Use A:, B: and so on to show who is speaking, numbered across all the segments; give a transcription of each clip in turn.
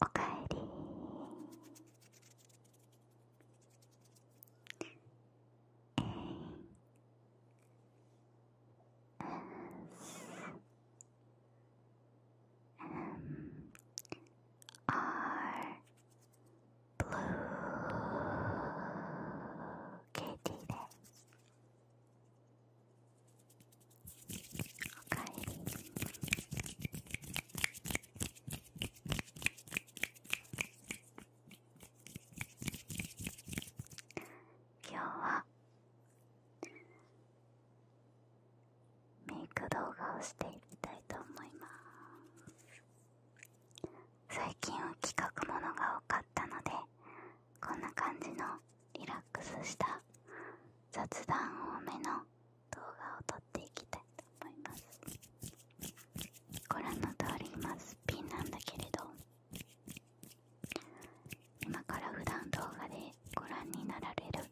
A: おかえりえー、are blue kitty ですおかえり今日はメイク動画をしていきたいと思います最近は企画ものが多かったのでこんな感じのリラックスした雑談多めの動画を撮っていきたいと思いますご覧の通り今すっぴんなんだけれど今から普段動画でご覧になられる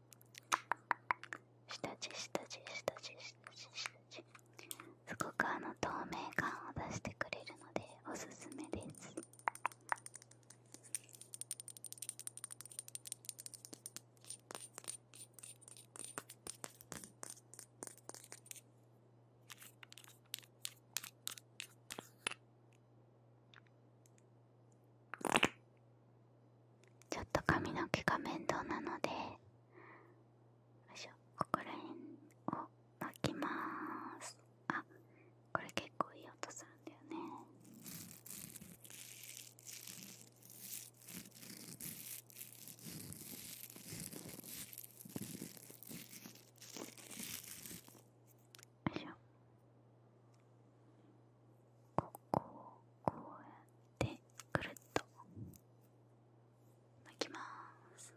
A: 下地下地下地下地下地すごくあの透明感を出してくれるのでおすすめですちょっと髪の毛が面倒なのでよいしょ、ここら辺を巻きますあこれ結構いい音するんだよねうん。いしょこう、こうやってくるっと巻きます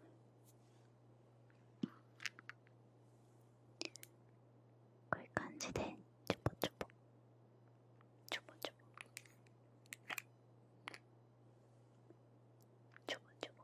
A: こういう感じでちょぼちょぼちょぼちょぼちょぼちょぼ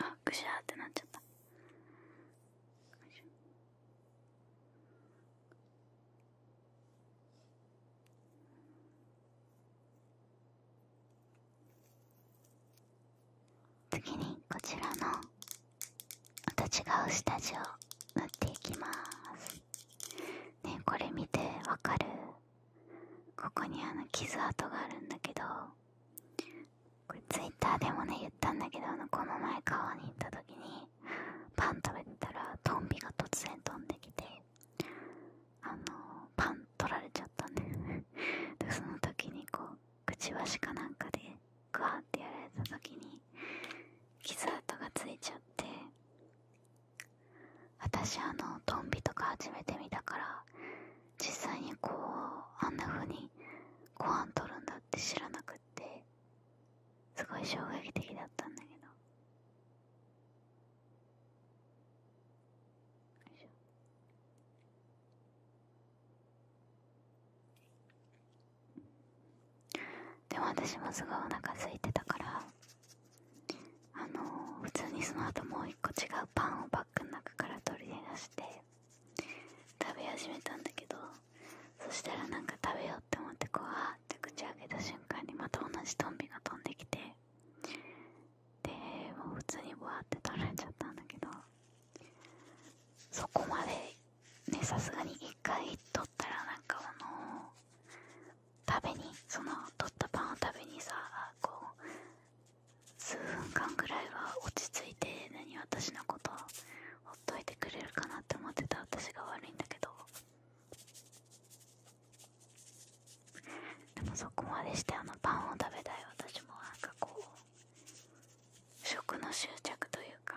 A: あぐしゃーってなっちゃった次にこちらのまた違う下地を塗っていきますねこれ見てわかるここにあの傷跡があるんだけどこれツイッターでもね言ったんだけどこの前川に行った時にパン食べてたらトンビが突然飛んできてあのパン取られちゃったんね でその時にこうくちばしかなんかでグワーってやられた時に傷跡がついちゃって私あのトンビとか初めて見たから実際にこうあんな風にご飯取るんだって知らなくてすごい衝撃的だったんだけどでも私もすごいお腹空いてたからあの普通にその後もう一個違うパンをバッグの中から取り出して食べ始めたんだけどそしたらなんか食べようって思ってこうあーって口開けた瞬間にまた同じトンビが飛んできてでも普通にぶわって取られちゃったんだけどそこまでねさすがに一回取ったらなんかあの食べにその取ったパンを食べにさこう数分間ぐらいは落ち着いて何私のことほっといてくれるかなって思ってた私が悪いんだけどでもそこまでしてあのパンを食べたい私もなんかこう食の執着というか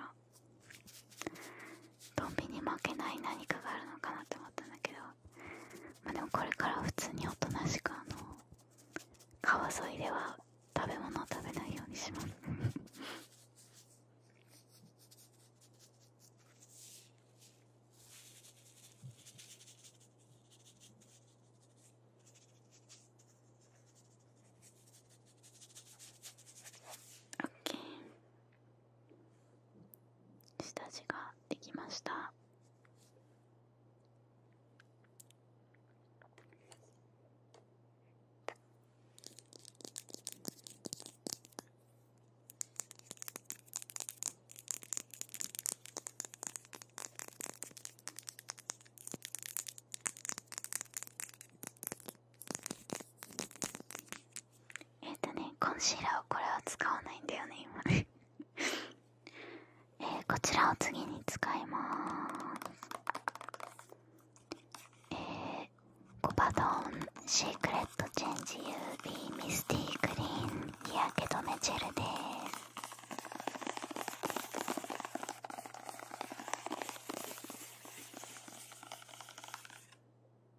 A: ドンビに負けない何かがあるのかなって思ったんだけどまあでもこれから普通におとなしくあの川沿いでは食べ物食べないようにしますオッケー下地ができましたえっとねコンシーラーをこれは使わないんだよね今えこちらを次に使いますえコパドンシークレットチェンジ UV ミスティーグリーン日焼け止めジェルです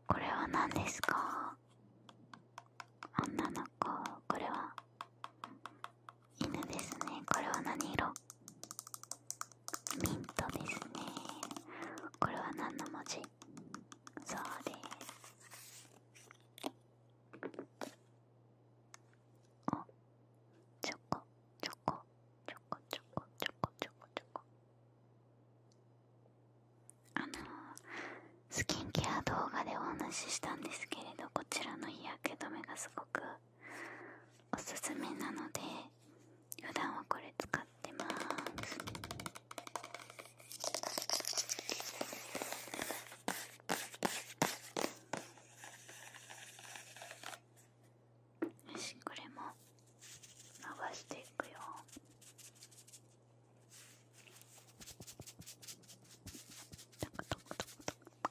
A: これは何ですかあんなのかこれは犬ですねこれは何色ミントですねこれは何の文字そうですおチョコチョコチョコチョコチョコチョコチョコあのスキンケア動画でお話ししたんですけれどこちらの日焼け止めがすごくおすすめなので普段はこれ使ってますよしこれも流していくよトクトクトクトク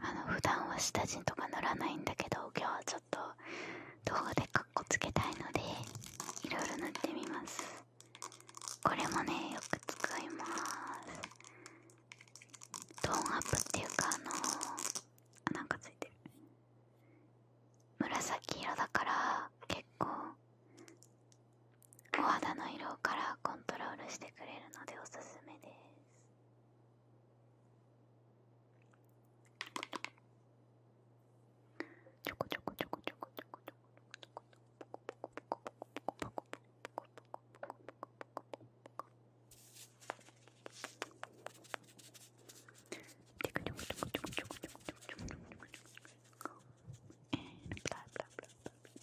A: あの普段は下地とか塗らないんだけど今日はちょっと動画でかっこつけたいのでいろいろ塗ってみますこれもねよく使いますトーンアップっていうかあのー、なんかついてる紫色だから結構お肌の色からコントロールしてくれるのでおすすめです And blah blah blah blah blah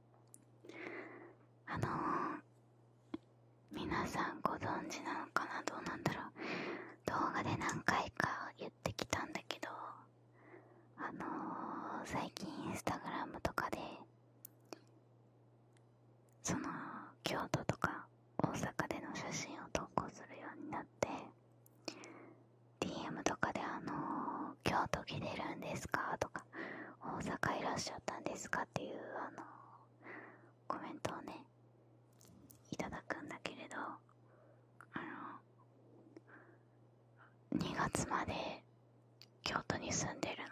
A: あの皆さんご存知なのかなどうなんだろう動画で何回か言ってきたんだけどあの最近インスタグラムとかでその京都とか大阪での写真を投稿するようになって DM とかであの京都来てるんですか?」とか「大阪いらっしゃったんですかっていうあのコメントをねいただくんだけれどあの2月まで京都に住んでるの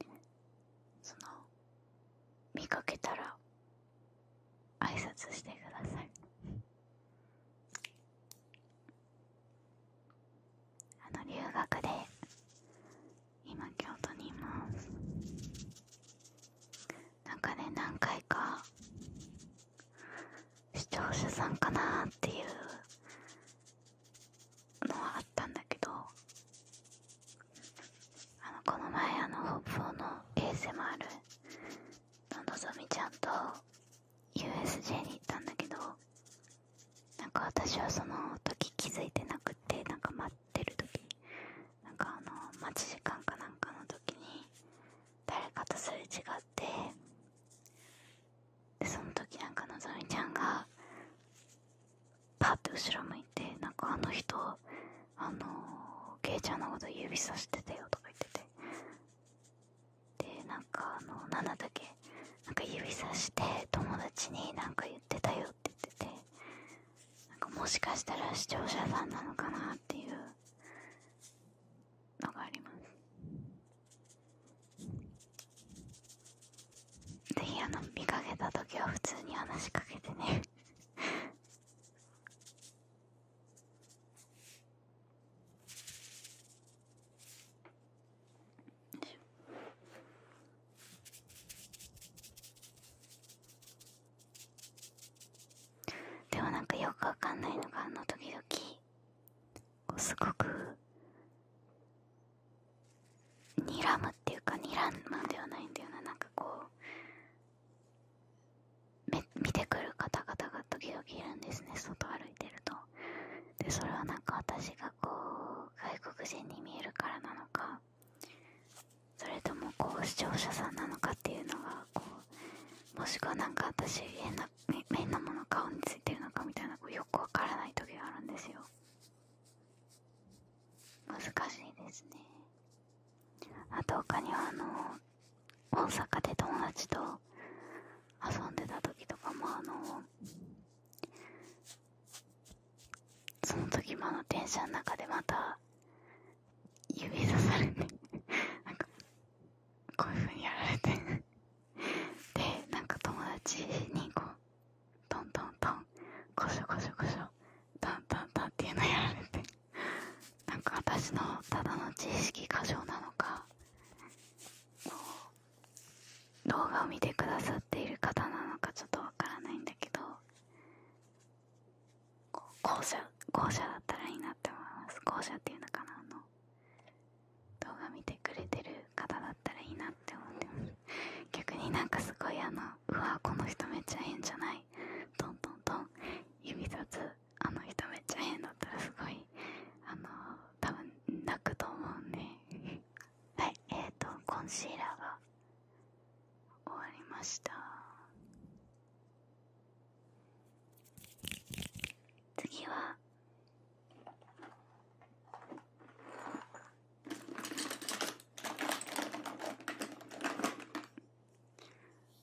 A: でその見かけたら挨拶してくださいあの留学で今京都にいますなんかね何回か視聴者さんかなっていうのはあったんだけどあのこの前あのホップオの ASMR ののぞみちゃんと USJ に行ったんだけどなんか私はその時気づいてなくてなんか待ってる時なんかあの待ち時間かなんかの時に誰かとすれ違ってその時なんかのぞみちゃんがパッと後ろ向いてなんかあの人あのけいちゃんのこと指さしてたよとか言っててでなんかあの奈だけなんか指さして友達になんか言ってたよって言っててなんかもしかしたら視聴者さんなのかなっていうのがありますぜひあの見かけた時は普通に話しかけてねでもなんかよくわかんないのがあの時々こうすごくにらむっていうかにらんまではないんだよななんかこうめ見てくる方々が時々いるんですね外歩いてるとでそれはなんか私がこう外国人に見えるからなのかそれともこう視聴者さんなのかっていうのがこうもしくはなんか私変な変なもの顔についてるのかみたいなよくわからない時があるんですよ難しいですねあと他にはあの大阪で友達と遊んでた時とかもあのその時もあの電車の中でまた指さされてなんかこういうふうにやられてでなんか友達にこうトントントンこしょこしょこしょ。トントントンっていうのやられてなんか私のただの知識過剰なのかもう動画を見てくださっている方なのかちょっとわからないんだけど校舎校舎だったらいいなって思います校舎っていうのかなあの動画見てくれてる方だったらいいなって思ってます逆になんかすごいあのうわこの人めっちゃ変じゃないトントントン指立つあの人めっちゃ変だったらすごいあの多分泣くと思うんではいえっとコンシーラーが終わりました次は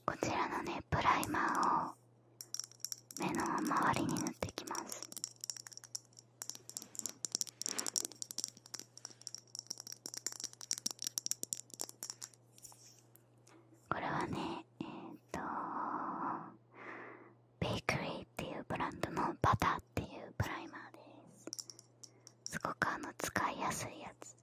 A: こちらのねプライマーを目の周りに塗っていきますこれはねえっ、ー、とベークリーっていうブランドのバターっていうプライマーですすごくあの使いやすいやつ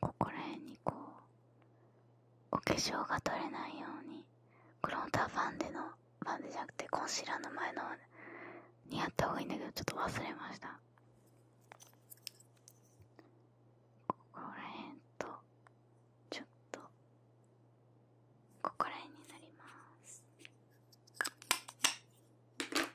A: ここら辺にこうお化粧が取れないようにロンターファンデのファンデじゃなくてコンシーラーの前のにやった方がいいんだけどちょっと忘れましたここら辺とちょっとここら辺になります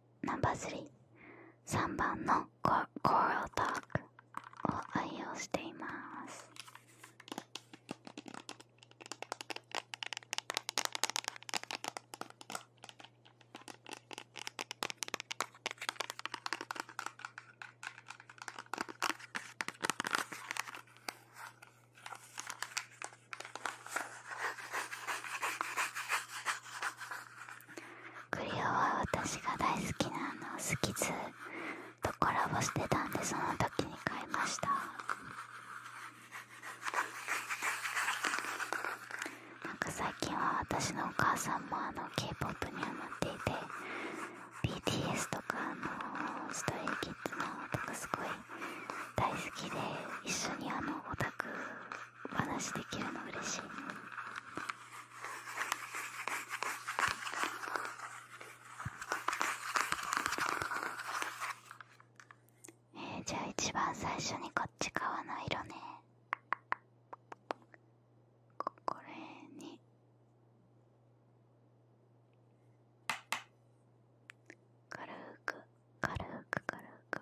A: ナンバー33番のココールタークを愛用していますクリオは私が大好きなあのスキズとコラボしてたんでその時に買いましたなんか最近は私のお母さんもあの k p o p にハマっていて BTS とかあのストレイキッズのとかすごい大好きで一緒にあのオタクお話できるの嬉しいえじゃあ一番最初にこっち側の色ねこれに軽く軽く軽く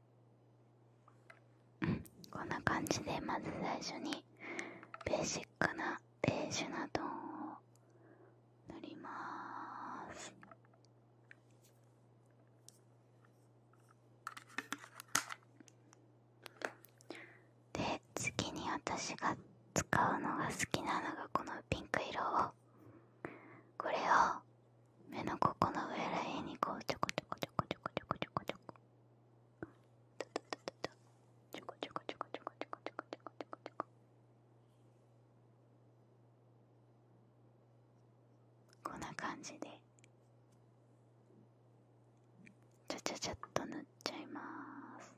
A: こんな感じでまず最初にベーシックなベージュなトーンを塗りますで次に私が使うのが好きなのがこのピンク色をこれを目のここの上ら辺にこうちょこちょこちょこちょこちょこちょこちょこちょこちょこちょこちょこちょこちょこちょこちょここんな感じでちゃちゃちゃっと塗っちゃいます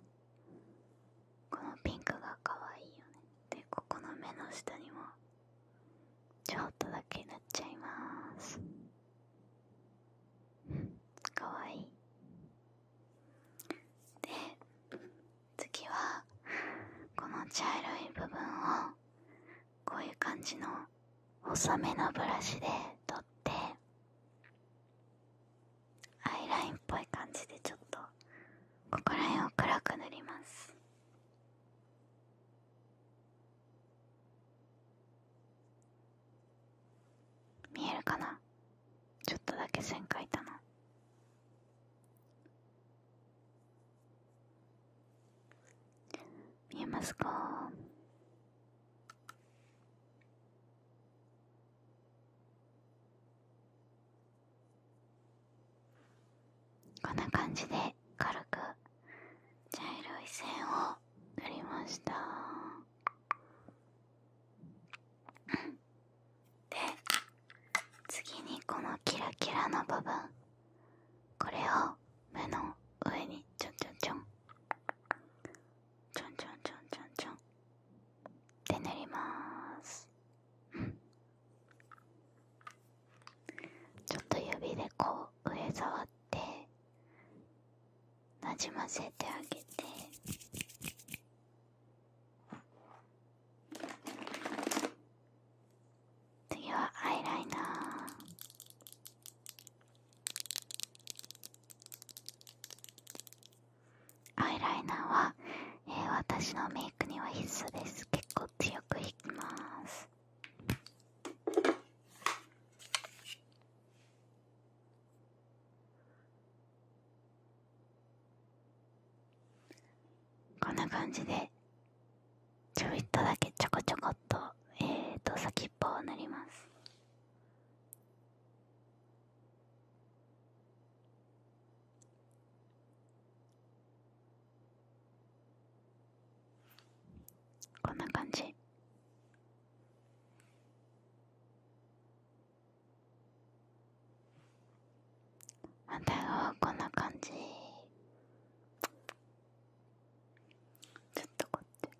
A: このピンクがかわいいよねでここの目の下にもちょっとだけ塗っちゃいますかわいいで次はこの茶色い部分をこういう感じの細めのブラシで取ってアイラインっぽい感じでちょっとここら辺を暗く塗ります見えるかなちょっとだけ線描いたの。見えますかこんな感じでで軽く茶色い線を塗りましたで次にこのキラキラの部分これを目の上にちょんちょんちょんちょんちょんちょんちょんちょんって塗ります、うん、ちょっと指でこう上触ってなじませてあげて次はアイライナーアイライナーは、え私のメイクには必須です結構強く引きますこんな感じでちょいっとだけちょこちょこっとえーと先っぽを塗りますこんな感じあ対側はこんな感じちょっとこうやって。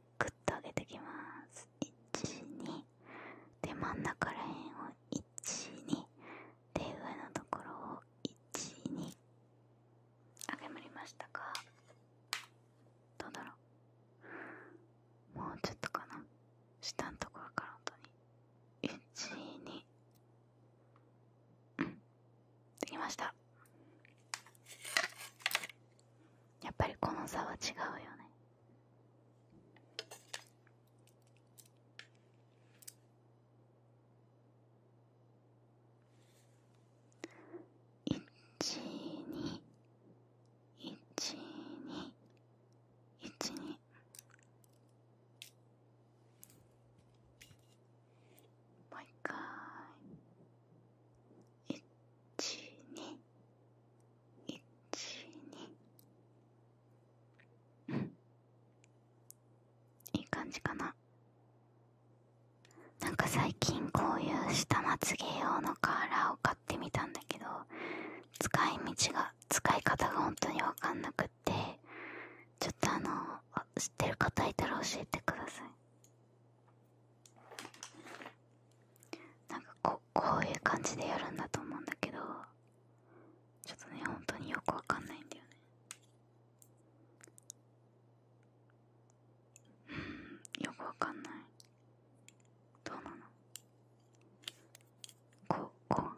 A: てグと上げてきます12で真ん中らへんを12で上のところを12あげむりましたかどうだろうもうちょっとかな下のところから本当に12できましたやっぱりこの差は違うよね一二一二一二もう一回1212うんいい感じかななんか最近こういう下まつげ用のカーラーを買ってみたんだけど使い道が使い方が本当に分かんなくってちょっとあの知ってる方いたら教えてくださいなんかここういう感じでやるんだと思うんだけどちょっとね本当によくわかんないんだよねうんよくわかんないどうなのこうこう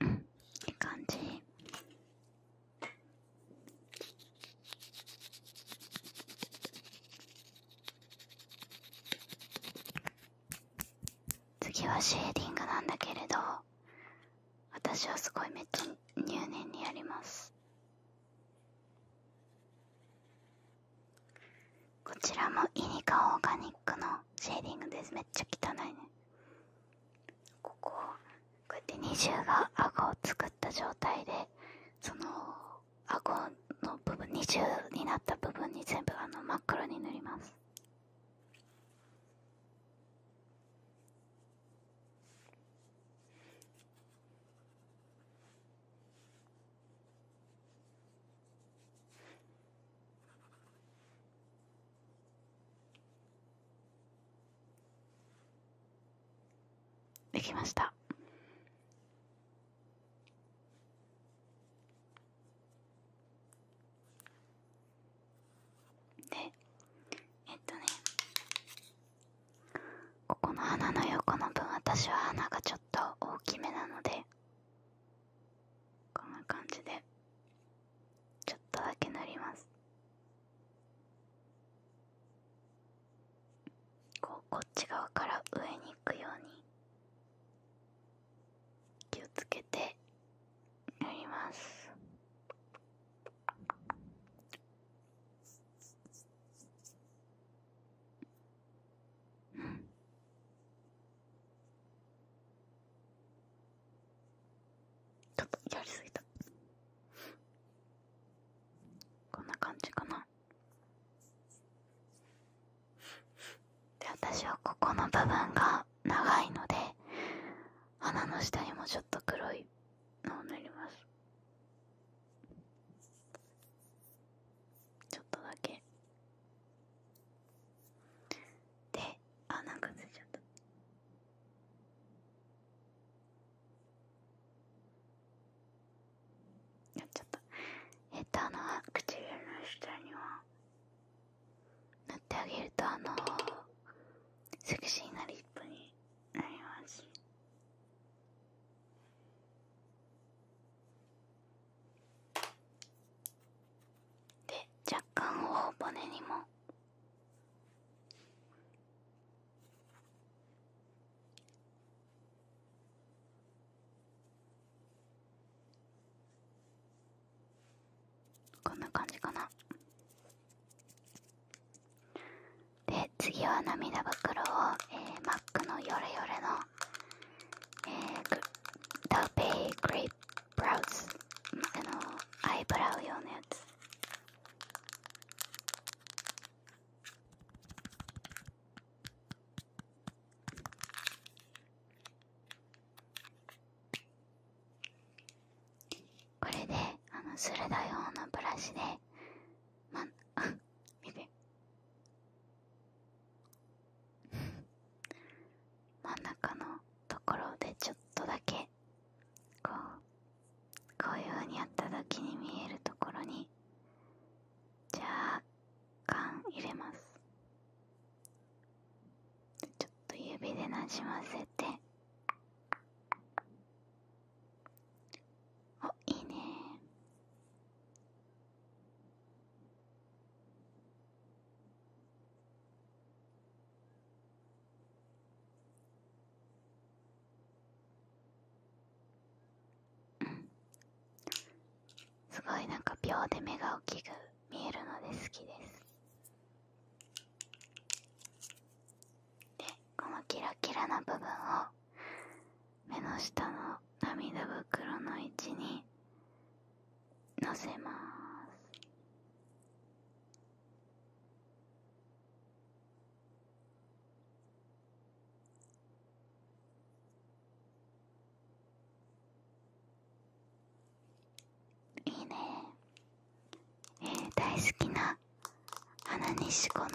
A: うん、って感じ次はシェーディングなんだけれど私はすごいめっちゃ入念にやりますこちらもイニカオーガニックのシェーディングですめっちゃ汚いねここうやって二重が顎を作った状態でその顎の部分二重になった部分に全部あの真っ黒に塗りますできましたでえっとねここの花の横の分私は花がちょっと大きめなのでこんな感じでちょっとだけ塗りますこうこっち側から上に行くように気をつけて塗りますうんちょっとやりすぎたこんな感じかなで私はここの部分が長いので鼻の下にもちょっと黒いのを塗りますちょっとだけで穴がんかついちゃったやっちゃったえっとあの唇の下には塗ってあげるとあのセクシーなリップになりますで若干頬骨にもこんな感じかなで次は涙袋を、えー、マックのヨレヨレの、えー、ダウペイグレープブラウスあのアイブラウ用のやつこれであの鋭い方のブラシでまあ 見 真ん中のところでちょっとだけこうこういうふうにやった時に見えるところに若干入れますちょっと指でなじませておいいねうん。すごいなんか秒で目が大きく見えるので好きですでこのキラキラな部分を目の下の涙袋の位置にのせますいいねえー、大好きな花西子の、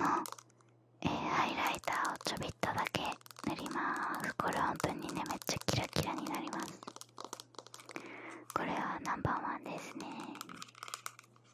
A: えー、ハイライターをちょびっとだけ塗りますこれ本当にねめっちゃキラキラになりますこれはナンバーワンですね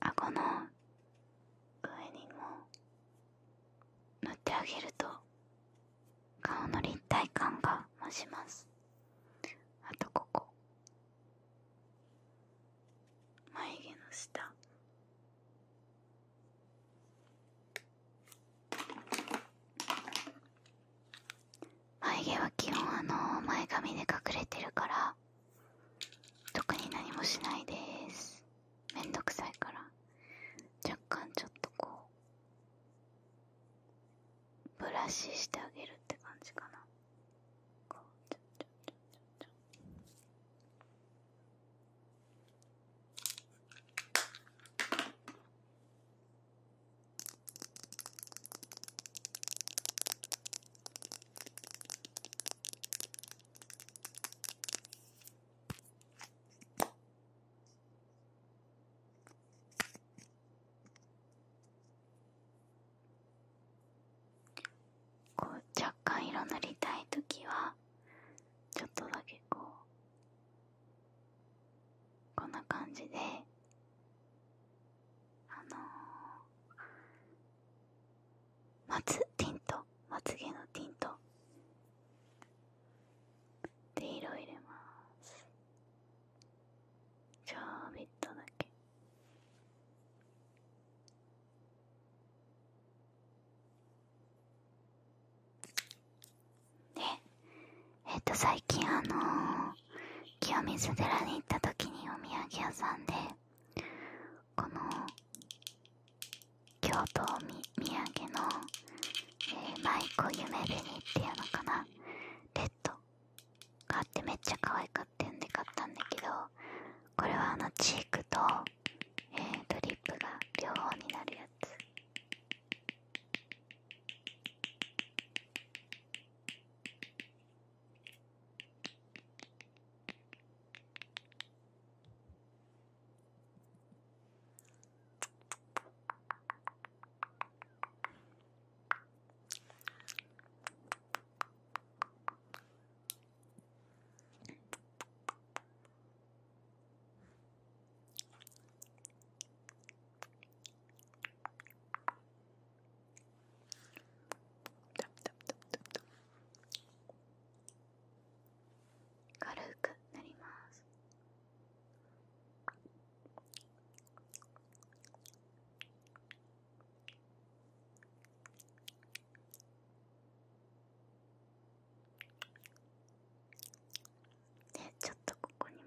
A: 顎の上にも塗ってあげると顔の立体感が増しますあとここ眉毛の下眉毛は基本あの前髪で隠れてるから特に何もしないです面倒くさいから若干ちょっとこうブラシしてあげるって感じかなこうちょちょちょちょちょこう若干色塗りたい時はちょっとだけこうこんな感じであのー、まつティントまつげのティントで色を入れます。ちょびっとだけね。えっ、と最近あの清水寺に行った時にお土産屋さんでこの京都み土産の、えー、舞妓夢紅っていうのかなレッド買ってめっちゃ可愛かったんで買ったんだけどこれはあのチークと、えリップが両方になるやつ軽くなります。でちょっとここにも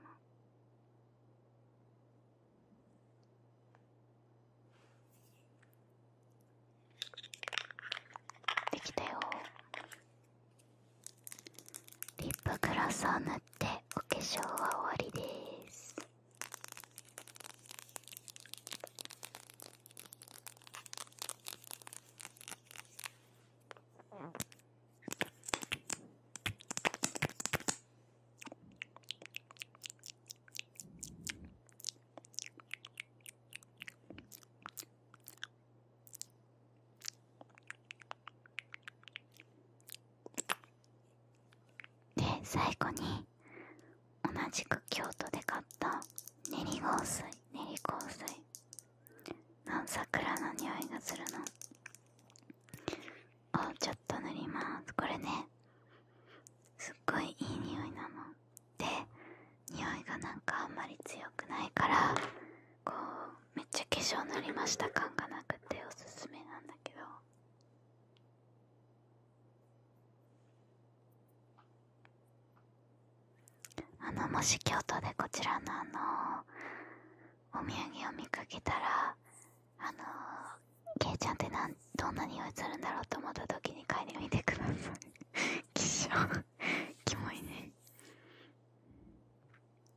A: できたよリップグラスを塗ってお化粧は終わりですで最後に同じく京都で買った練り香水練り香水の桜の匂いがするのをちょっと塗りますこれねすっごいいい匂いなので匂いがなんかあんまり強くないからこうめっちゃ化粧塗りました感がなくておすすめなんだけどあのもし京都でこちらのあのお土産を見かけたらあのけいちゃんってなんどんな匂いするんだろうと思った時に帰嗅いでみてください きしょ キモいね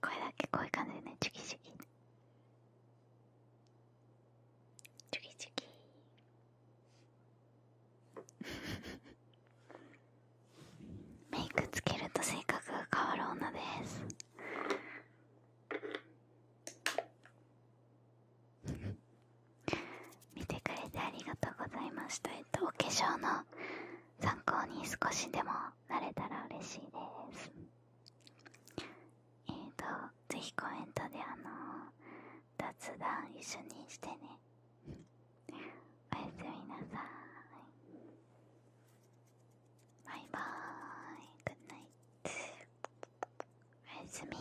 A: これだけこういう感じでねチュキチュキチュキチュキメイクつけると性格が変わる女です見てくれてありがとうございましたえっとお化粧の参考に少しでもなれたら嬉しいですえっ、ー、とぜひコメントであの雑談一緒にしてねおやすみなさいバイバーイグッナイツおやすみ